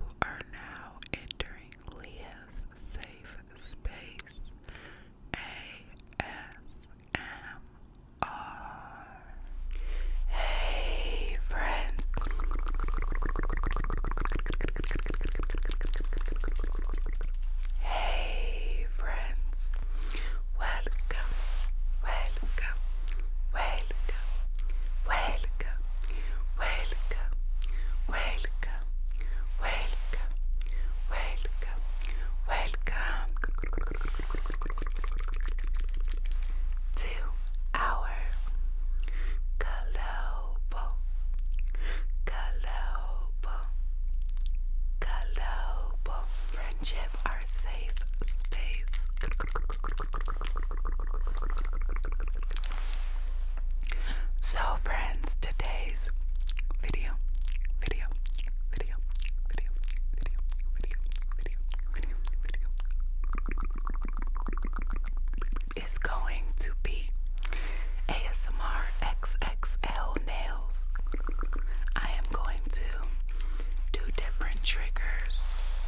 We are now entering Leah's safe space ASMR. Hey, friends. Hey, friends. Welcome, welcome, welcome, welcome welcome, welcome, welcome, welcome, welcome, to our Galobo, Galobo, Galobo Friendship, our safe space. So, friends, today's video, video, video, video, video, video, video, video, video, is going to be ASMR XXL nails. I am going to do different triggers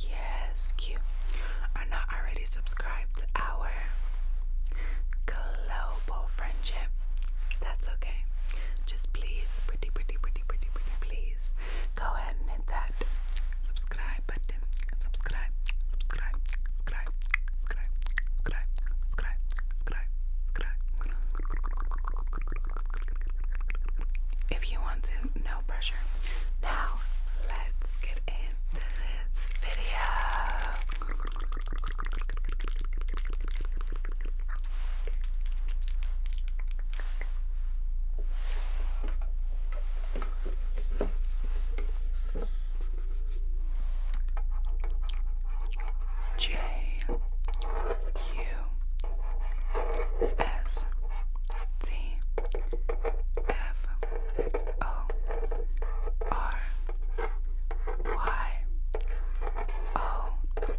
yes, cute, are not already subscribed to our global friendship, that's okay. Just please, pretty, pretty, pretty, pretty, pretty, please go ahead and hit that subscribe button. Subscribe, subscribe, subscribe, subscribe, subscribe, subscribe, subscribe, subscribe. subscribe if you want to, no pressure. Now, let's get into this video. J U S C F O R Y O U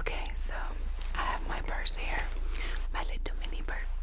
Okay, so I have my purse here, my little mini purse.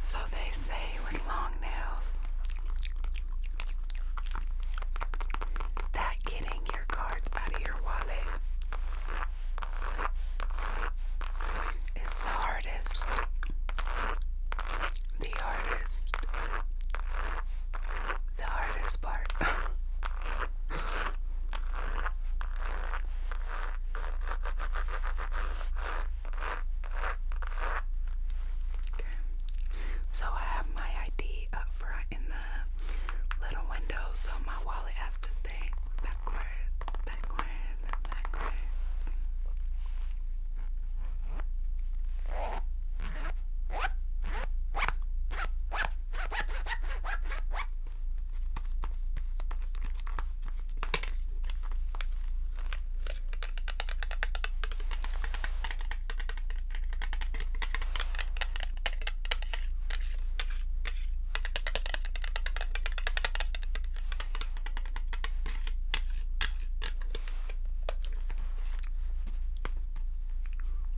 So they say with long nails that getting your cards out of your wallet is the hardest. The hardest. The hardest part. Okay. So I have my ID up front in the little window, so my wallet has to stay backwards, backwards, backwards.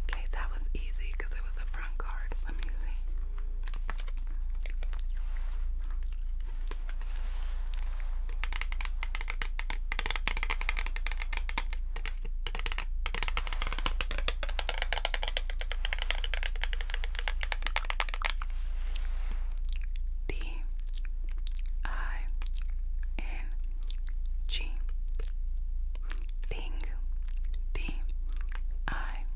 Okay, that was easy because it was a front card. Let me see. D I N G Ding D I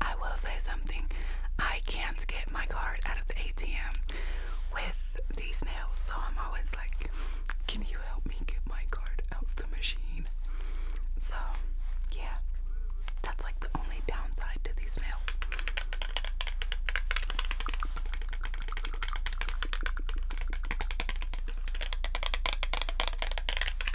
I will say something. I can't get my card out of the ATM with these nails, so I'm always like, can you help me get my card out of the machine? So, yeah, that's like the only downside to these nails.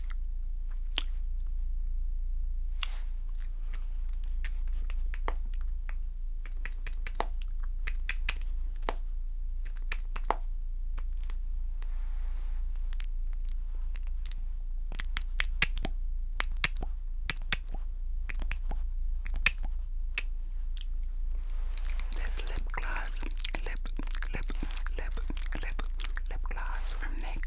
This lip gloss, lip, lip, lip, lip, lip gloss from NYX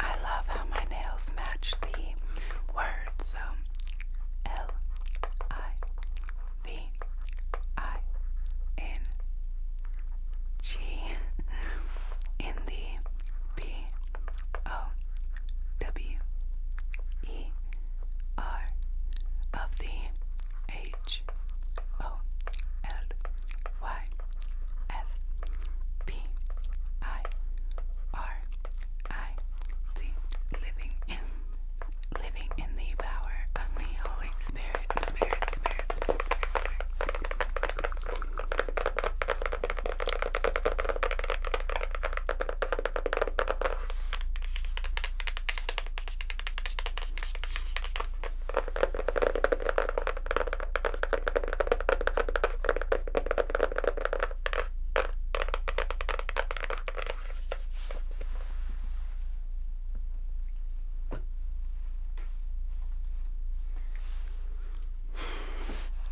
I love how my nails match the word word. So L I V I N G in the P O W E R of the H O L Y S P I R I living in living in the power of the Holy Spirit.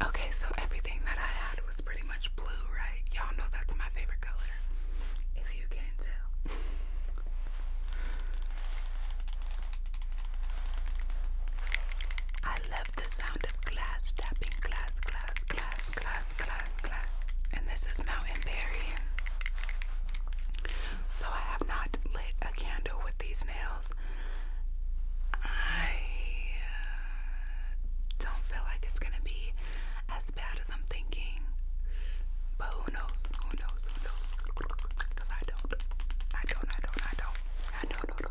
Okay, so everything that I had was pretty much blue, right? Y'all know that's my favorite color. If you can tell. I love the sound of glass tapping, glass, glass, glass, glass, glass, glass. And this is Mountain Berry. So I have not lit a candle with these nails. I uh, don't feel like it's gonna be as bad as I'm thinking, but who knows? Who knows? Who knows? Because don't. I don't. I don't. I don't. I don't. I don't.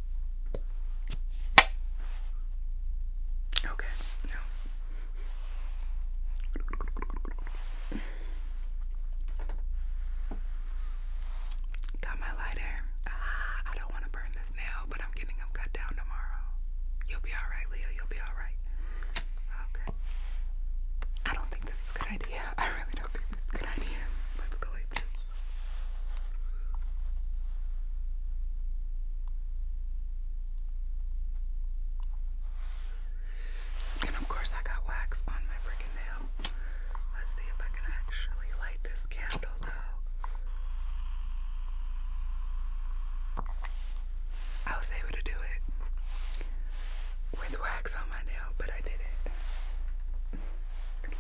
Okay, no. Got my lighter. Ah, I don't want to burn this now, but I'm getting them cut down tomorrow. You'll be alright, Leo. You'll be alright. Okay. I don't think this is a good idea. I really don't think this is a good idea. Let's go like and of course, I got wax on my freaking nail. Let's see if I can actually light this candle though. I was able to do it with wax on my nail, but I did it.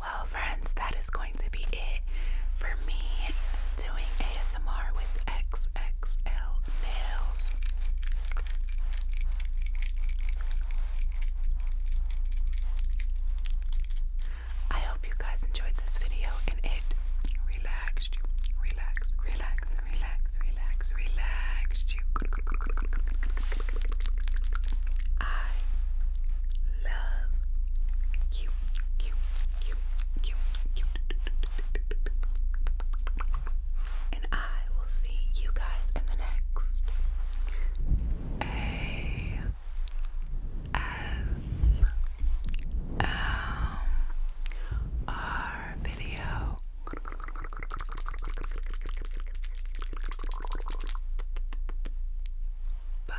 Well, friends, that is going to be it for me doing ASMR with XXL nails. I hope you guys enjoyed this video and it relaxed you. Relax, relax, relax, relax, relaxed you. I love you. You, you, you, you. And I will see you guys in the next. A S M R video. Bye.